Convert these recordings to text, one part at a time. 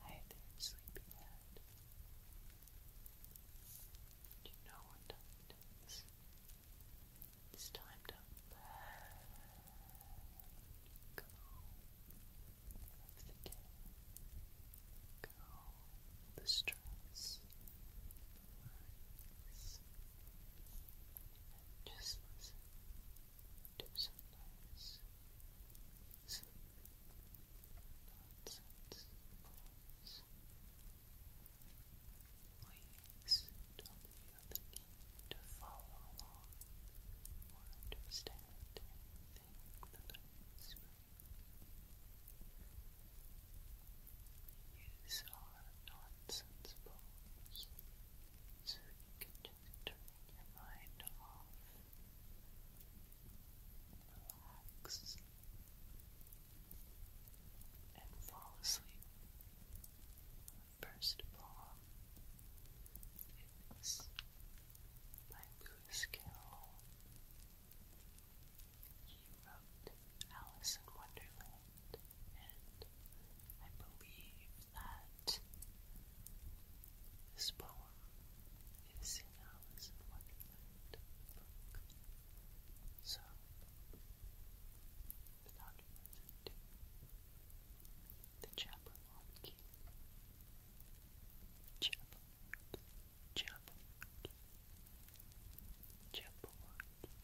Hi there, sleepyhead. Do you know what time it is? It's time to let go the day. Go the stress. Relax. just to someplace nonsense calls. Please don't be looking to follow along or understand anything that I speak. These are nonsense so you can turn your mind off. Relax. And fall asleep. First poem is Lewis Carroll. He wrote Alice in Wonderland and I believe that this poem is in Alice in So, without further ado, the Jabberwocky. Jabberwocky. Jabberwocky. Jabberwocky.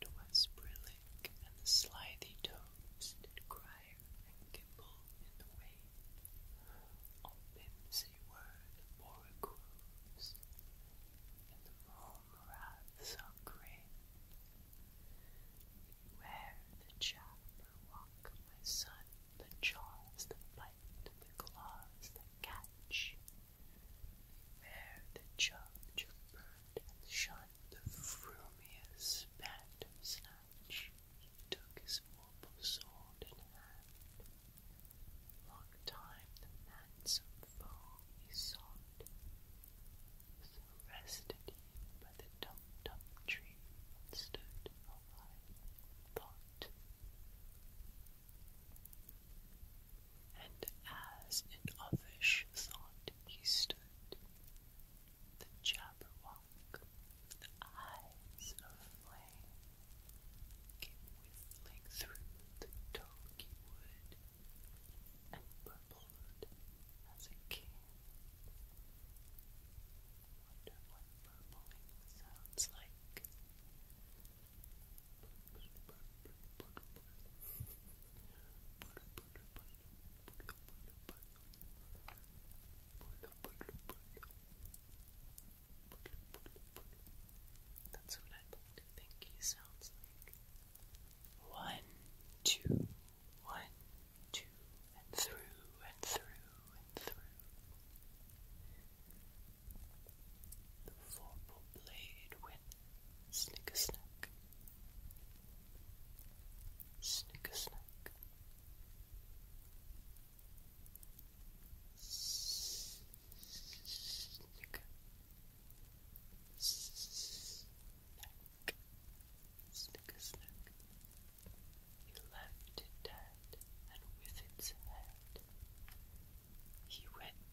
'Twas brillig and the slithy toads did cry and gimble in the wave. On Bimsey were the borer and the mome wraths are grey. the chapper walk, my son, the jaws that bite, the claws that catch. Beware the judge of and shun, the frumious bat snatch, he took his mortal sword in hand. Long time the mansome foe he sought, so rested he by the dum-dum tree and stood awhile in thought. And as in offish thought he stood, the Jabberwock, the eyes of flame, whistling through the tulgey wood, and burbled as it came. Wonder what burbling sounds like. That's what I think he sounds like. One, two, one, two, and through and through and through. The vorpal blade went Snicker snack. Snicker snack. Snicker. Snack. Snicker snack. He left it dead and with its head. He went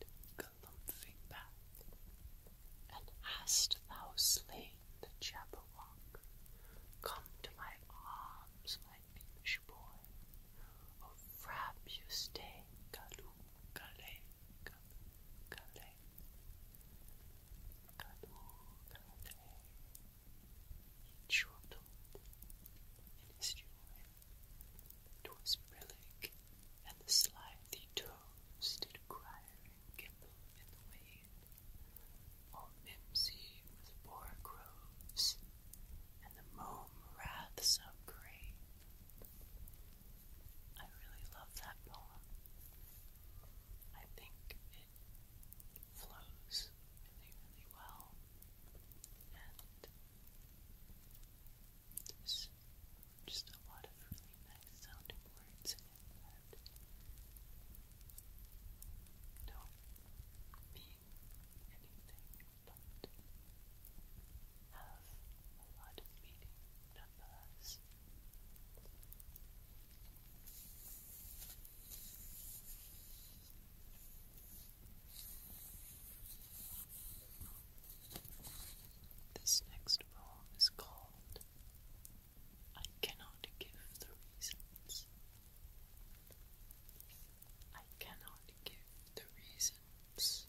and hast thou slain the Jabberwock? Come to my arms, my Beamish boy, O frabjous day, galoo, in his joy 'Twas brillig, and the slithy toads did crier and in the wave, all mimsy with boar groves, and the mome wraths of grave. I really love that poem. I think it flows really, really well. There's just a lot of really nice sounding words in Don't mean anything, but have a lot of meaning this next poem is called I Cannot Give the Reasons. I cannot give the reasons,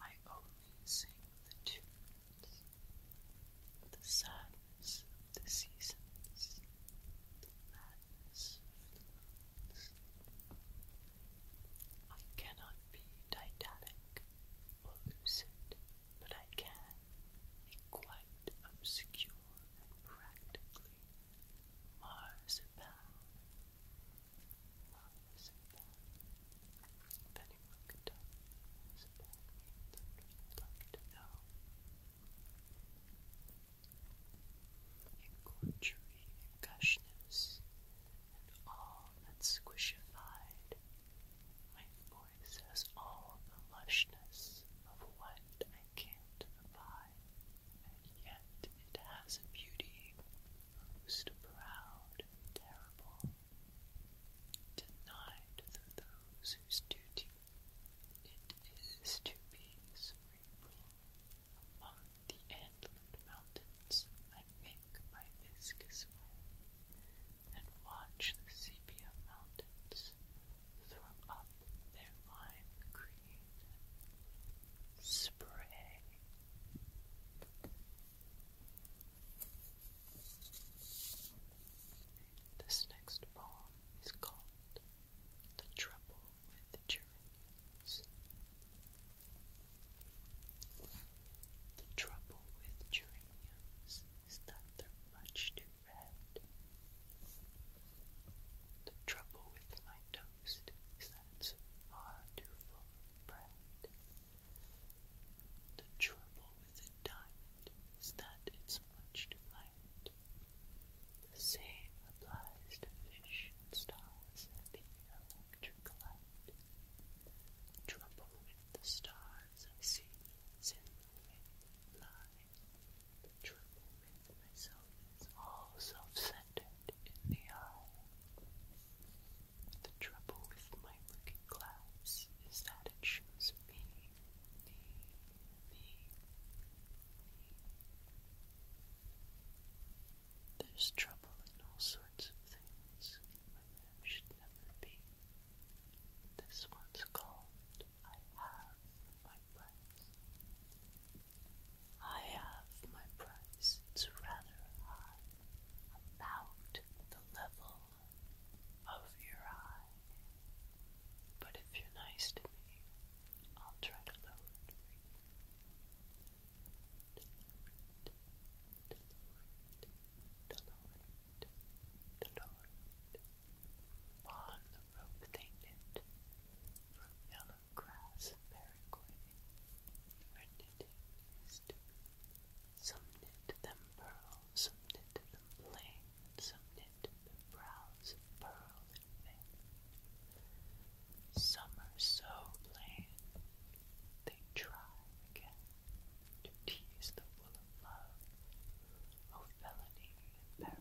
I only sing the tunes, the sadness the seasons, the madness I cannot be didactic or lucid, but I can be quite obscure and practically marzipan. Marzipan. If anyone could tell me marzipan means, I'd like to know. In gorgery and gushness, and all that's squishified. My voice has all the lushness of what I can't abide, and yet it has a beauty most proud terrible, denied to those whose duty it is to be cerebral. Among the Antlered Mountains, I make my viscous way and watch the sepia mountains throw up their lime green spray. This next poem is called The Trouble with the The trouble with geraniums is that they're much too red. The trouble with my toast is that it's far too full of bread. The trouble with a diamond is that it's much too light. The same applies to fish and stars and the yellow electric Trouble with the stars I see is in the way trouble with myself is all self-centered in the eye. The trouble with my looking glass is that it shows me, me, me, me. There's trouble in all sorts of things should never be. This one's called I Have My Price. I have my price. It's rather high, about the level of your eye. But if you're nice to me, I'll try to lower it on the rope they from yellow grass and periquet, where knitting Some knit them pearl, some knit them plain, some knit them brows of pearl everything. Some are so bland. they try to tease the wool of love, O oh, and periquet.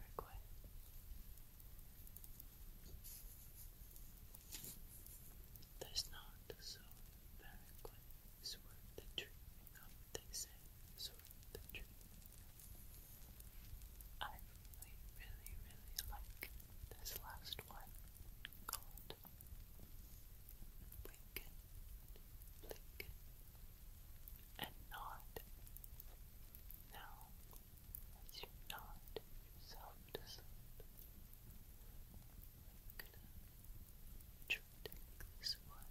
There's not the soul of worth the tree, come they say, is the tree. I really, really, really like this last one called Blinken, Blinken, and Nod. Now, as you nod yourself to sleep, i this one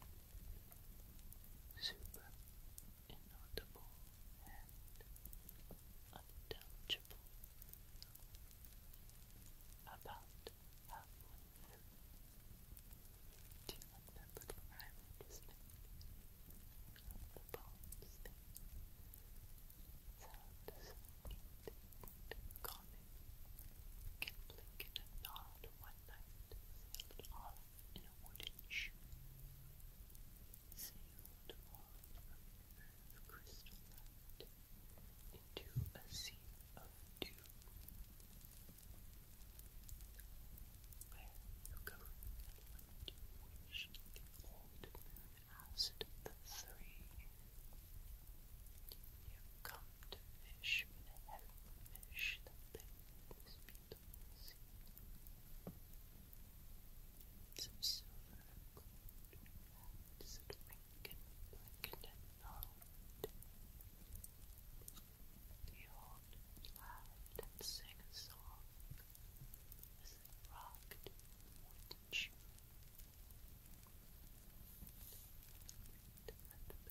super inaudible and unintelligible. About halfway through. Do you like that little rhyme I just made? The bones thing. Sound so neat and calming. You can blink in nod one night, sail it off in a wooden sealed wand of nerve crystallite into a sea of dew, where you go and what the old moon asked the three. You come to fish with a some silver and gold rounds that wink and blink and unfold. They all laughed and sang a song as they rocked the wooden shoe. Plunk,